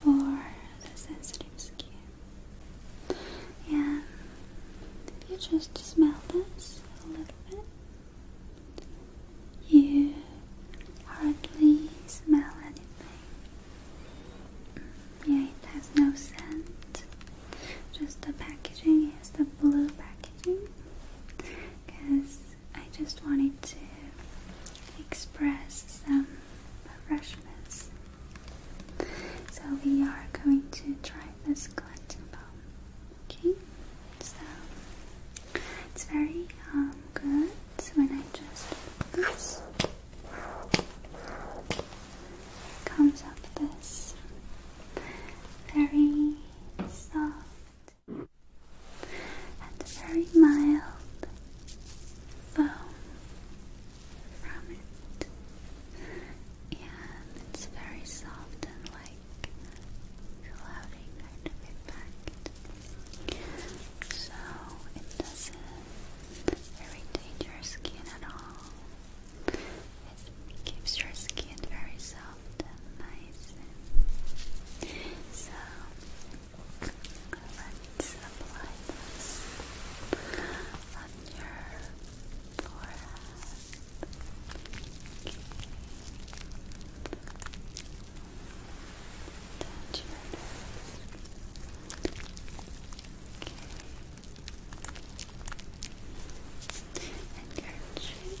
for the sensitive skin. And if you just smell this a little bit, you hardly smell anything. Yeah, it has no scent. Just the packaging is the blue packaging because I just wanted to express some refreshments. So we are going to try this cleansing balm. Okay, so it's very um, good when I just comes up this very soft and very mild foam from it. And it's very soft and like cloudy kind of effect. So it doesn't irritate your skin at all. It keeps your skin very soft and nice. so Let's apply on your forehead. your nose. Okay. And your cheek.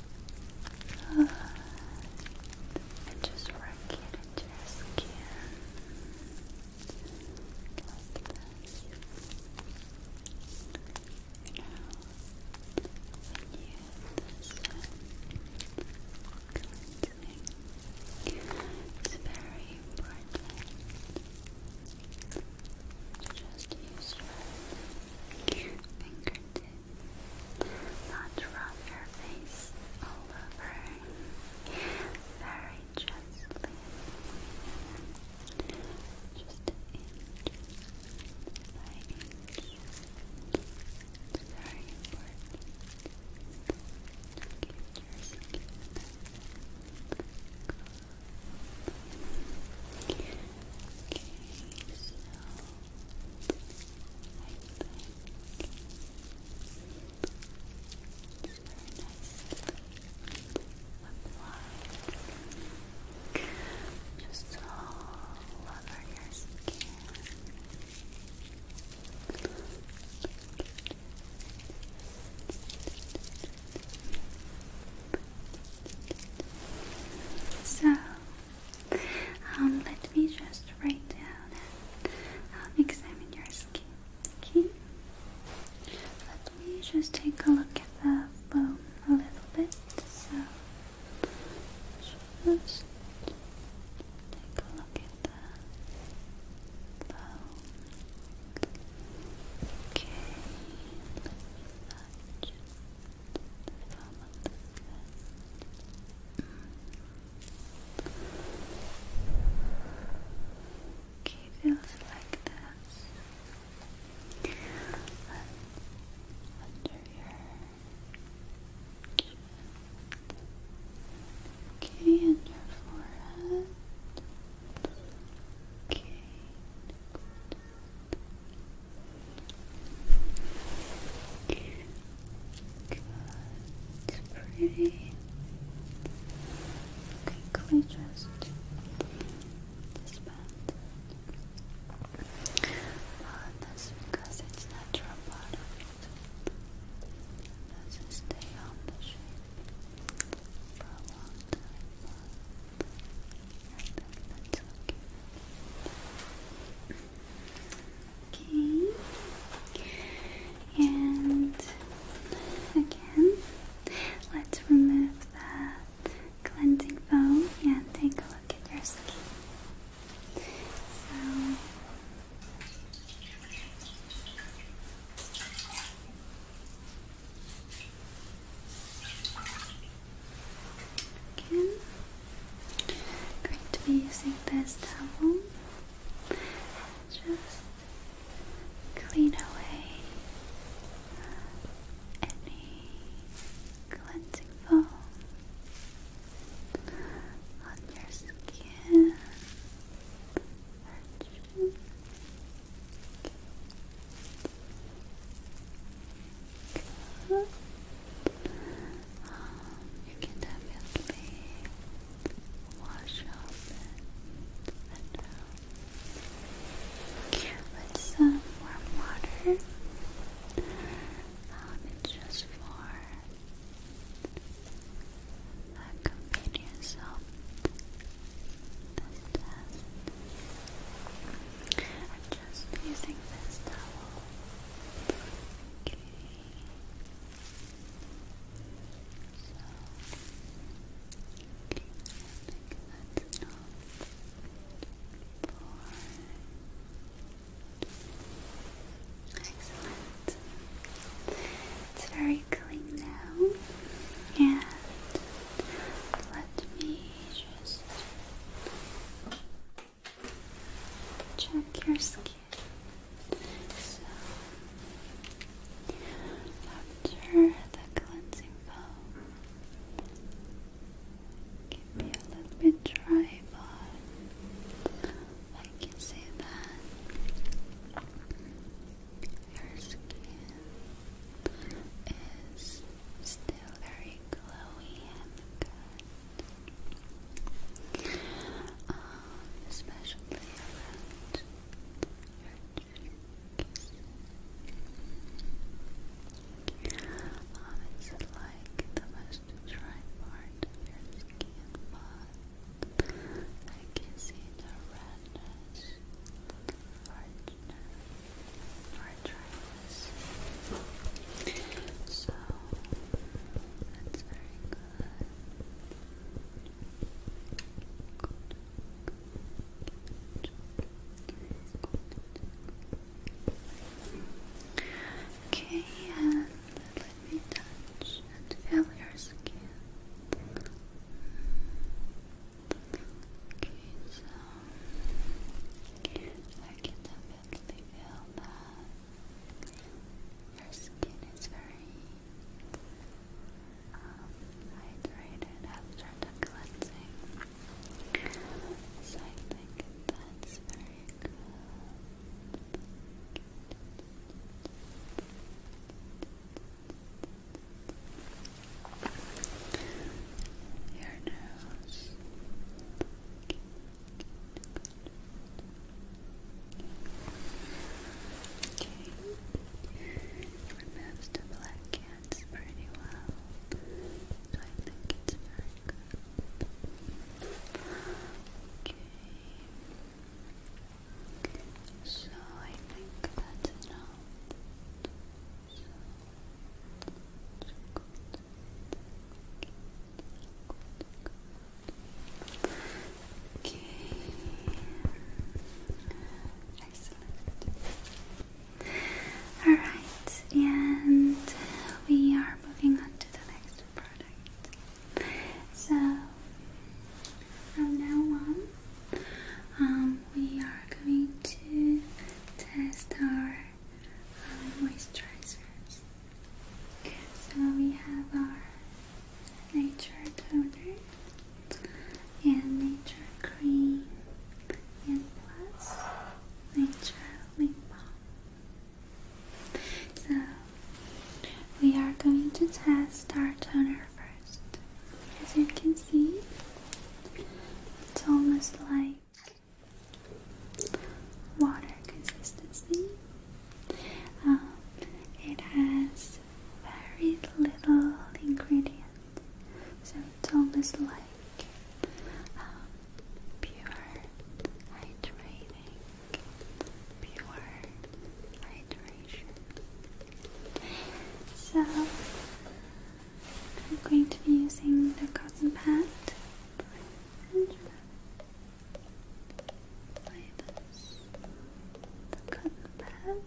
Good. And just work it into your skin You know, when you use cleansing, it's very important to just use your fingertips. Not rub your face all over. Very gently. Just inch by inch. very important keep your skin cool. Okay, applied just all over your skin. So, um, let me just write down um, examine your skin. Okay. Let me just take a look at the bone a little bit. So just take a look at the bone. Okay. Let me touch. Okay, feels like this. under your chin. Okay, and your forehead. Okay, Good, pretty. Okay, can we just disband that's because it's natural part Doesn't stay on the shape for long okay. And again, let's remove the cleansing foam and take a look at your skin. So Again. Going to be using this towel. Just clean away any cleansing foam on your skin. Okay. Good. Um, you can wash up and with some warm water. it's um, just for accompany yourself. This test. I'm just using this towel. Okay. So, okay, I think that's for. Excellent. It's very clean now. And let me just check your skin. So, after the cleansing foam, it can a little bit dry, but I can say that your skin is still very glowy and good. Um, especially around your cheeks. Um, it's like the most dry part of your skin, but I can see the redness arthritis. So that's very good. Okay, and let me touch and feel your skin. Okay, so I can definitely feel that your skin is very um, hydrated after the cleansing. So I think that's very good. Your nose. Okay. It removes the black cats pretty well. So I think it's very Okay. So I think that's enough. Okay. Excellent. Alright, and we are moving on to the next so from now on, um, we are going to test our um, moisturizers. So we have our nature toner and nature cream and plus nature lip balm. So, we are going to test our toner first. As you can see, it's almost like water consistency. Um, it has very little ingredient, so it's almost like pure hydrating, pure hydration. So I'm going to be using the cotton pad and this. The cotton pad.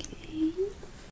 Okay.